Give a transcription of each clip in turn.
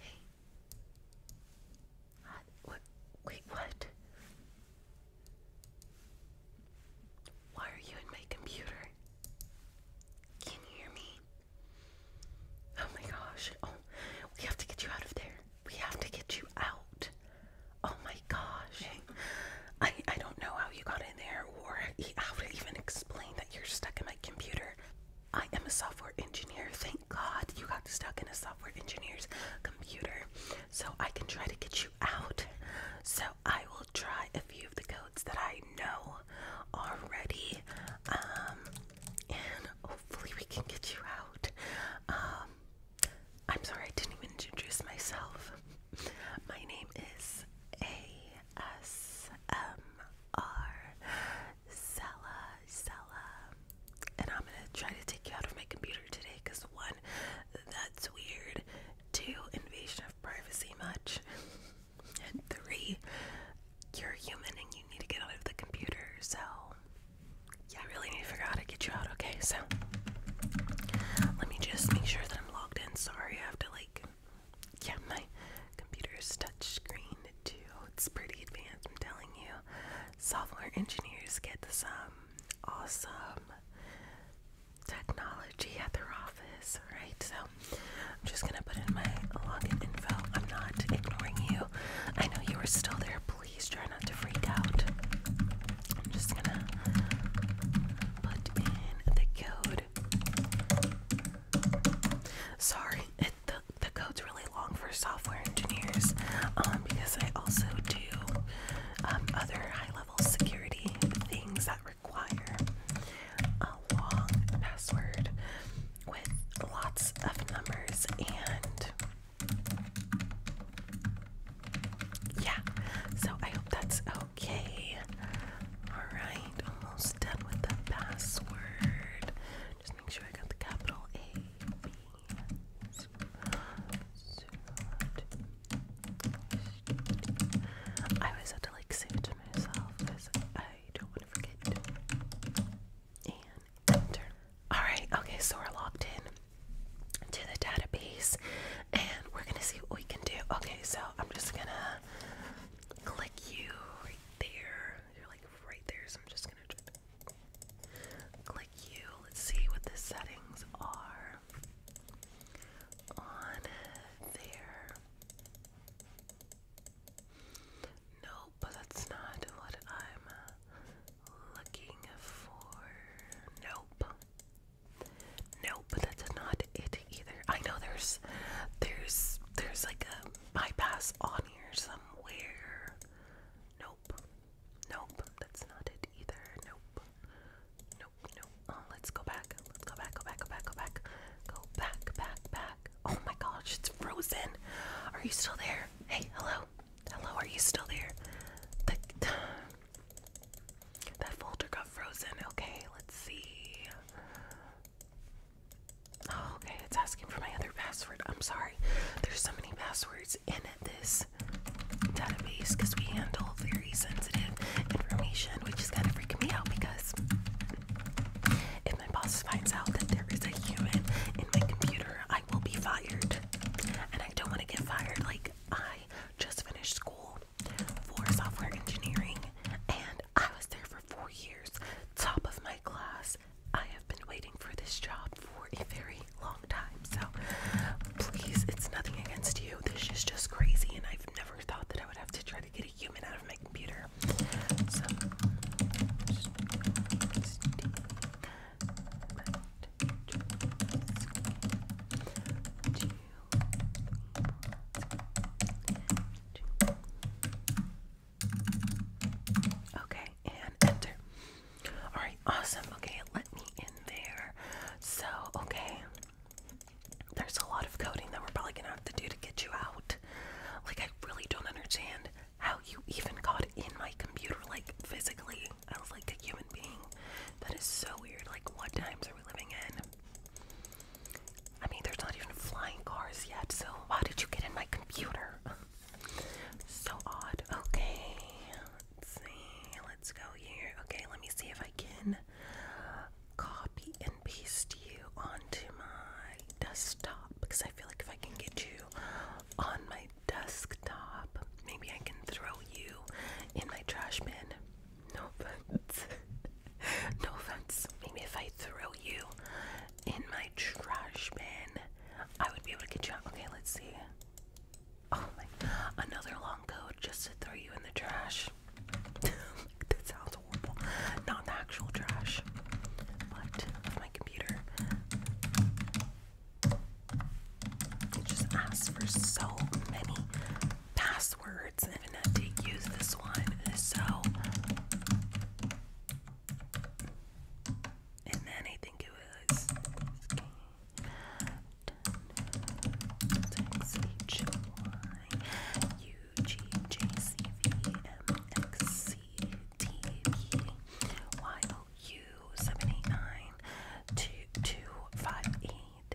Hey. Uh, wait, what? Why are you in my computer? Can you hear me? Oh my gosh. Oh, we have to get you out of there. We have to get you out. Oh my gosh. I I don't know how you got there or how to even explain that you're stuck in my computer. I am a software engineer. Thank God you got stuck in a software engineer's computer. So I can try to get you out. So I will try a few of the codes that I know are ready, um, and hopefully we can get you out. Um, I'm sorry I didn't even introduce myself. My name is A ASMR Sella Sella. And I'm gonna try to take you out of my computer today because one, that's weird. Two, invasion of privacy much. and three, you're human and you need to get out of the computer, so yeah, I really need to figure out how to get you out, okay? So let me just make sure that I'm logged in. Sorry, I have to like yeah, my computer's touchscreen too. It's pretty advanced, I'm telling you. Software engineers get some awesome technology at their office, right? So I'm just gonna put in my login info. I'm not ignoring you. I know you are still there. Please try not to freak out. I'm just gonna put in the code. Sorry, it, the, the code's really long for software engineers um, because I also do um, other high level security things that require a long password with lots of numbers and. Yeah, so I hope that's Okay. Alright, almost done with the password. Just make sure I got the capital A, B, S, I always have to like say it to myself because I don't want to forget. And enter. Alright, okay, so we're logged in to the database and we're gonna see what we can do. Okay, so I'm just gonna like you right there. You're like right there, so I'm just gonna click you. Let's see what the settings are on there. Nope, that's not what I'm looking for. Nope. Nope, that's not it either. I know there's there's there's like a bypass on here somewhere. Nope. Nope. That's not it either. Nope. Nope. Nope. Oh, let's go back. Let's go back. Go back. Go back. Go back. Go back. Back. Back. Oh my gosh, it's frozen. Are you still there? Hey, hello. Hello, are you still there? That folder got frozen. Okay, let's see. Oh, okay, it's asking for my other password. I'm sorry. There's so many passwords in this database because we handle very sensitive information, which is kind of freaking me out because if my boss finds out that there is a human in my computer, I will be fired. And I don't want to get fired. Like, I just finished school for software engineering and I was there for four years, top of my class. I have been waiting for this job for a very long time, so please, it's nothing against you. This is just crazy, and I've never thought that I would have to try to get a human out of my computer. Okay, and enter. All right, awesome. Okay, let me in there. So, okay, there's a lot of coding that we're probably gonna have to do to get you out. Like, I really don't understand how you even got in my computer, like physically, as like a human being. That is so weird. Like, what times are we living in? I mean, there's not even flying cars yet, so why did you get in my computer? so odd. Okay, let's see. Let's go here. Okay, let me see if I can copy and paste you onto my desktop because I feel like if I can get you on my desktop, maybe I can throw you in my trash bin. No offense. no offense. Maybe if I throw you in my trash bin, I would be able to get you out. Okay, let's see. Oh my. Another long code just to throw you in the trash. that sounds horrible. Not the actual trash, but my computer. just asks for so many passwords words and not to use this one. So, and then I think it was X H Y U G J C V M X C T V Y O U seventy nine two two five eight.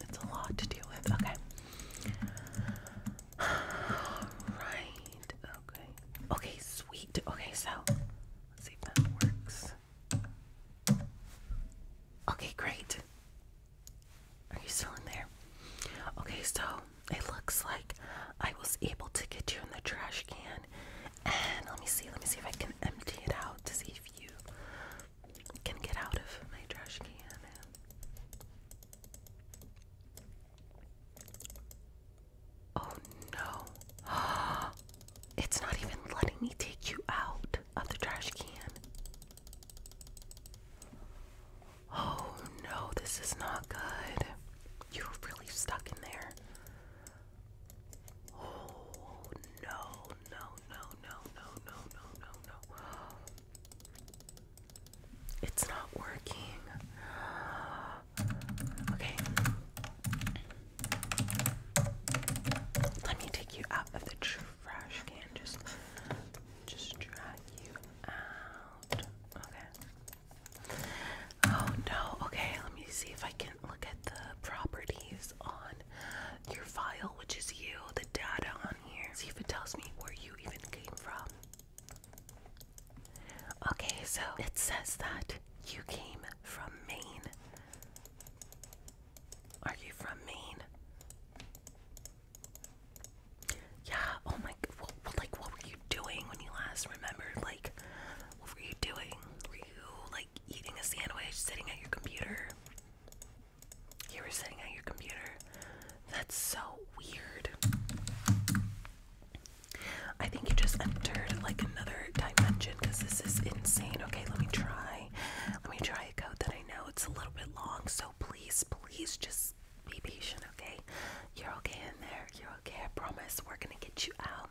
It's a lot to deal with. Okay. right. Okay. Okay, sweet. Okay, so let's see if that works. Okay, great. Are you still in there? Okay, so it looks like I was able to get you in the trash can. And let me see, let me see if I can empty it out to see if you can get out of my trash can. Oh no. It's not even letting me take you out of the trash can. Oh no, this is not good. You're really stuck in there. Oh no, no, no, no, no, no, no, no, no. It's not working. Okay. Let me take you out of the trash can. Just, just drag you out. Okay. Oh no. Okay. Let me see if I can look at the properties on your file, which is you, the data on here. See if it tells me where you even came from. Okay, so it says that you came from Maine. Are you from Maine? Yeah, oh my, like what were you doing when you last remembered, like, what were you doing? Were you, eating a sandwich, sitting at your computer. You were sitting at your computer. That's so weird. I think you just entered like another dimension because this is insane. Okay, let me try. Let me try a code that I know it's a little bit long, so please, please just be patient, okay? You're okay in there. You're okay. I promise. We're gonna get you out.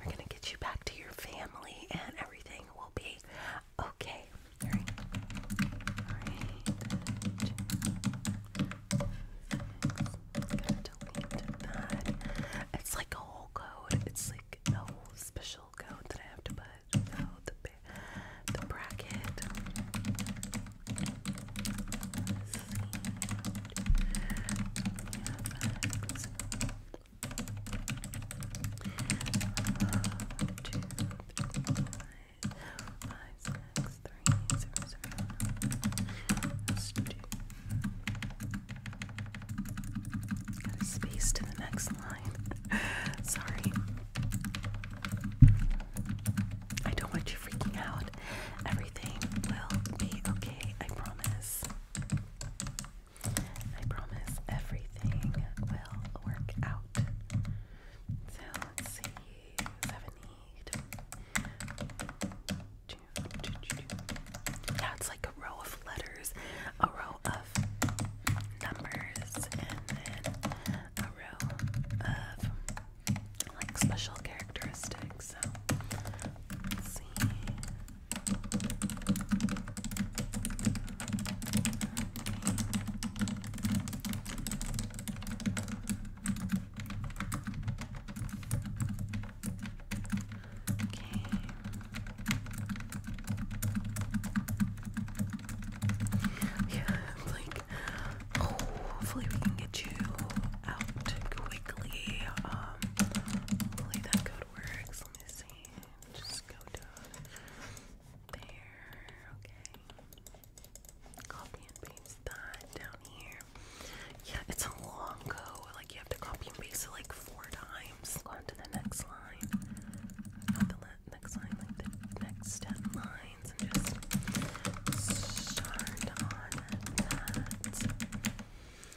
We're gonna get you back to your family and everything will be Okay. All right. All right. delete that. It's like a whole code. It's like a special code that I have to put the the bracket. Got a space to the next line. Sorry. I don't want you freaking out. Everything will be okay, I promise. I promise everything will work out. So let's see, 78. Yeah, it's like a row of letters, a row of numbers, and then a row of like special characteristics. So let's see. Yeah, like hopefully we can get you out quickly. Um, hopefully that code works. Let me see and just go down there, okay. Copy and paste that down here. Yeah, it's a long go, like you have to copy and paste it like four times. Go on to the next line. Not the next line, like next ten lines, and just start on that.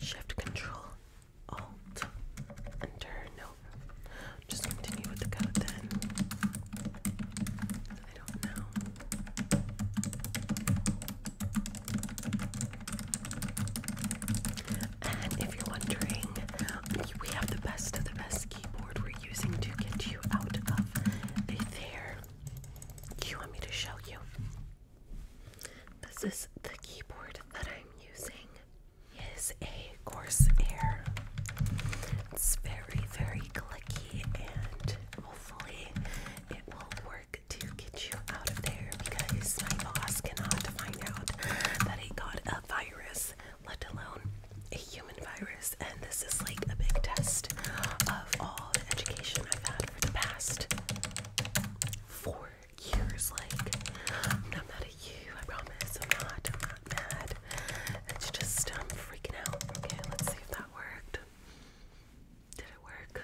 Shift Control Alt Enter. No, just continue with the code then. I don't know. And if you're wondering, we have the best of the best keyboard we're using to get you out of a there. you want me to show you? This is the keyboard that I'm using. Is a Corsair. It's very, very clicky, and hopefully, it will work to get you out of there because my boss cannot find out that he got a virus, let alone a human virus. And this is like a big test of all the education I've had for the past for years. Like, I'm not mad at you, I promise. I'm not, I'm not mad. It's just, I'm um, freaking out. Okay, let's see if that worked. Did it work?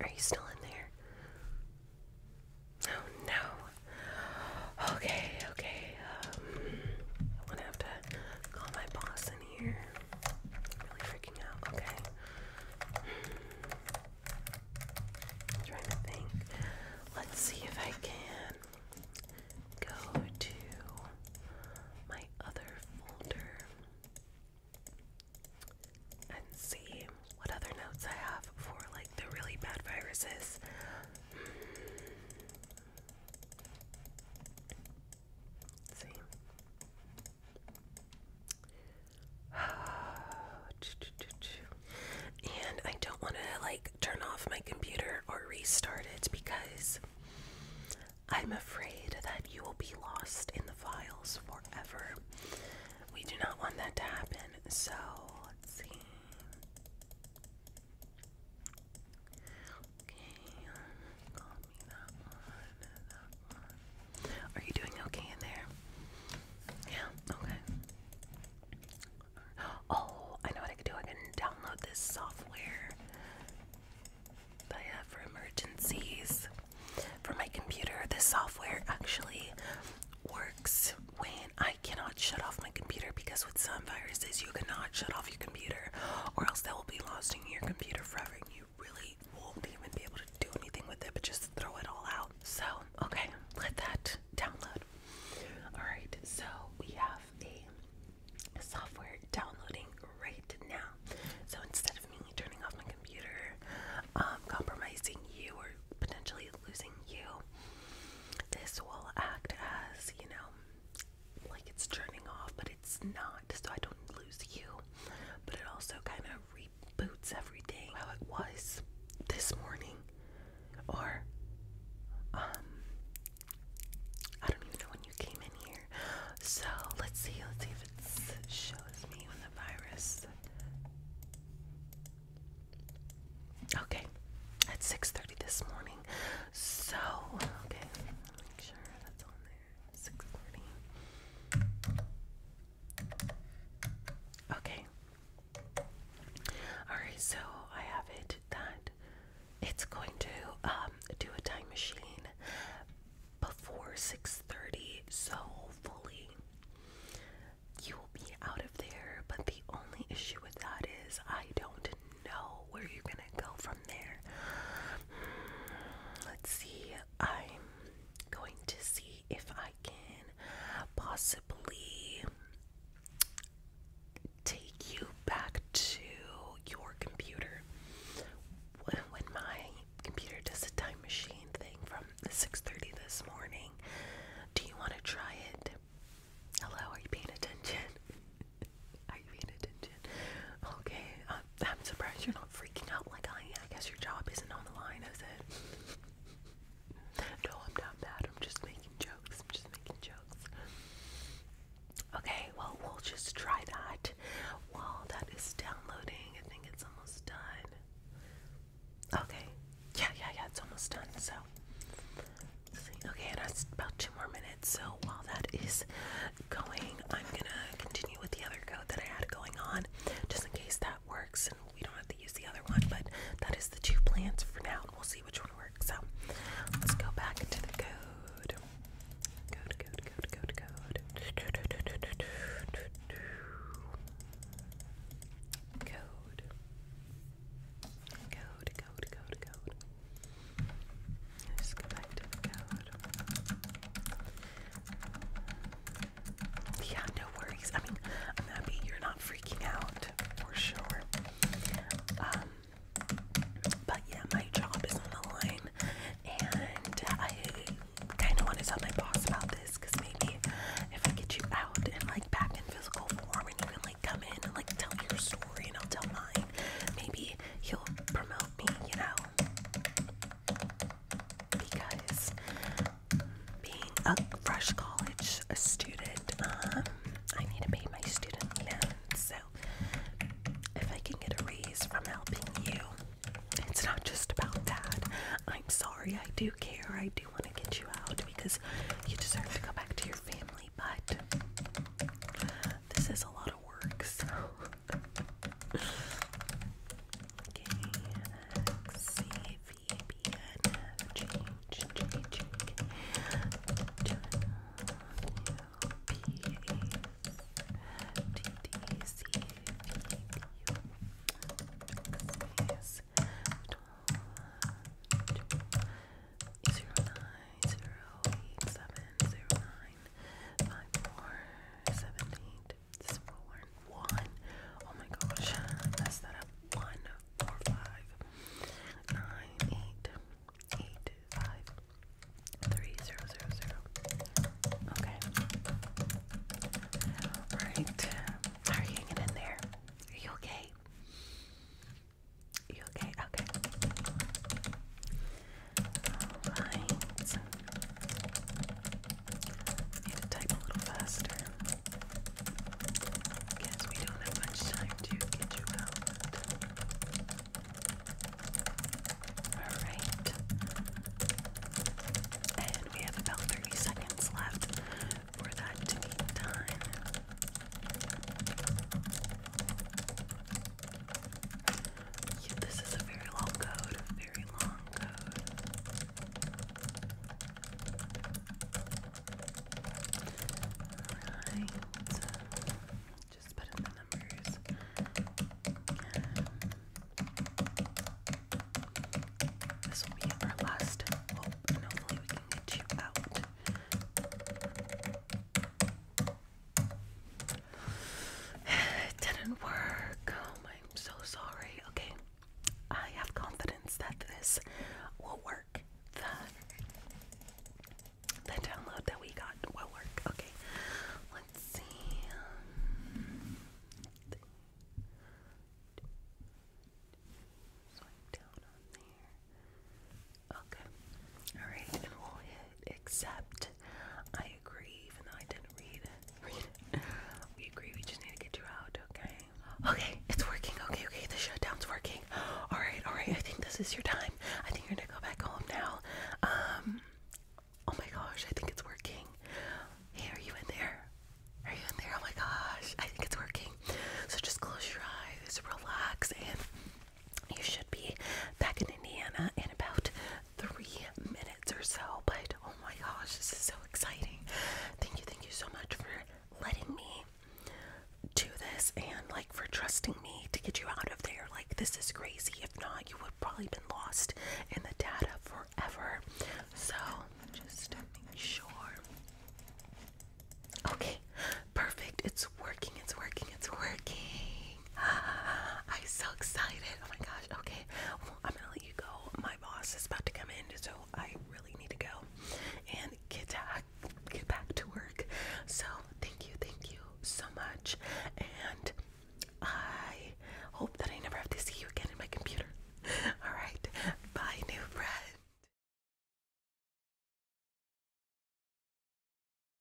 Are you still in there? Oh no. Okay, okay. Um, I'm gonna have to call my boss in here really freaking out. Okay. trying to think. Let's see if I can go to my other folder and see what other notes I have for like the really bad viruses. And I don't want to like turn off my computer or restart it because I'm afraid that you will be lost in the files forever. We do not want that to happen. So let's see. Okay. Are you doing okay in there? Yeah, okay. Oh, I know what I could do. I can download this software that I have for emergencies for my computer. This software actually works when I cannot shut off my computer because with some viruses you cannot shut off your computer or else they will be lost in your computer forever really won't even be able to do anything with it, but just throw it all out. So, okay, let that download. Alright, so we have a software downloading right now. So instead of me turning off my computer, um, compromising you or potentially losing you, this will act as, you know, like it's turning off, but it's not so I don't lose you. But it also kind of reboots everything how it was this morning, or um, I don't even know when you came in here. So let's see, let's see if it shows me when the virus. Okay, at 6:30 this morning. So okay, make sure that's on there. 640. Okay. Alright, so I have it that it's going to um, do a time machine before 6.30, so hopefully you will be out of there. But the only issue with that is I don't know where you're going to go from there. Hmm, let's see. I'm going to see if I can possibly take you back to your computer when my computer does a time machine thing from 6:30 this morning. Do you want to try it? Hello, are you paying attention? Okay, I'm, surprised you're not freaking out like I am. I guess your job isn't on the line, is it? no, I'm not mad. I'm just making jokes. I'm just making jokes. Okay, well, we'll just try that while that is downloading. I think it's almost done. Okay, yeah, yeah, yeah, it's almost done. So, okay, and that's about two more minutes. So, while that is going. I'm gonna continue with the other coat that I had going on just in case that works and we don't have to use the other one, but that is the two plants for now we'll see which one works. So let's go back into the code. Code, code, code, code, code. Code. Code, code, code, code. Yeah, no worries. I mean, I'm happy you're not freaking out for sure. Um, but yeah, my job is on the line, and I kind of want to tell my boss about this because maybe if I get you out and like back in physical form, and you can like come in and like tell your story, and I'll tell mine. Maybe he'll promote me, you know because being a fresh college student, um, I need to pay my student loan. So if I can get a raise from helping you, it's not just about that. I'm sorry, I do care. I do want to get you out because you deserve to go back to your family, but this is a lot of work, C V B N F G G G G Zero nine zero eight seven zero nine nine, five, four, seven, eight, Oh my gosh, I messed that up. One, four, five, nine, eight, eight, five, three, zero, zero, zero. Okay. Alright. Are you hanging in there? Are you okay? You okay? Okay. Alright. Need to type a little faster. Guess we don't have much time to get you out. Alright. And we have about 30 seconds left for that to be done this is a very long code, very long code. Just put in the numbers. this will be our last hopefully oh, we can get you out. It didn't work. Oh, I'm so sorry. Okay, I have confidence that this will work. The, the download that we got will work. Okay, let's see. Swipe down on there. Okay. Alright, except I agree, even though I didn't read we agree, we just need to get you out, okay? Okay, it's working. Okay, okay, the shutdown's working. Alright, alright, I think this is your time. I think you're gonna go back home now. Um, oh my gosh, I think it's working. Hey, are you in there? Are you in there? Oh my gosh, I think it's working. So just close your eyes, relax, and you should be back in Indiana in about three minutes or so. But oh my gosh, this is so exciting! Thank you, thank you so much for letting me do this and like for trusting me to get you out of there. Like, this is crazy. If not, you would probably been lost in the data forever. So, just make sure. Okay, perfect. It's it's working, it's working, it's working. I'm so excited. Oh my gosh. Okay. Well, I'm gonna let you go. My boss is about to come in, so I really need to go and get back, get back to work. So thank you, thank you so much. And I hope that I never have to see you again in my computer. All right. Bye, new friend.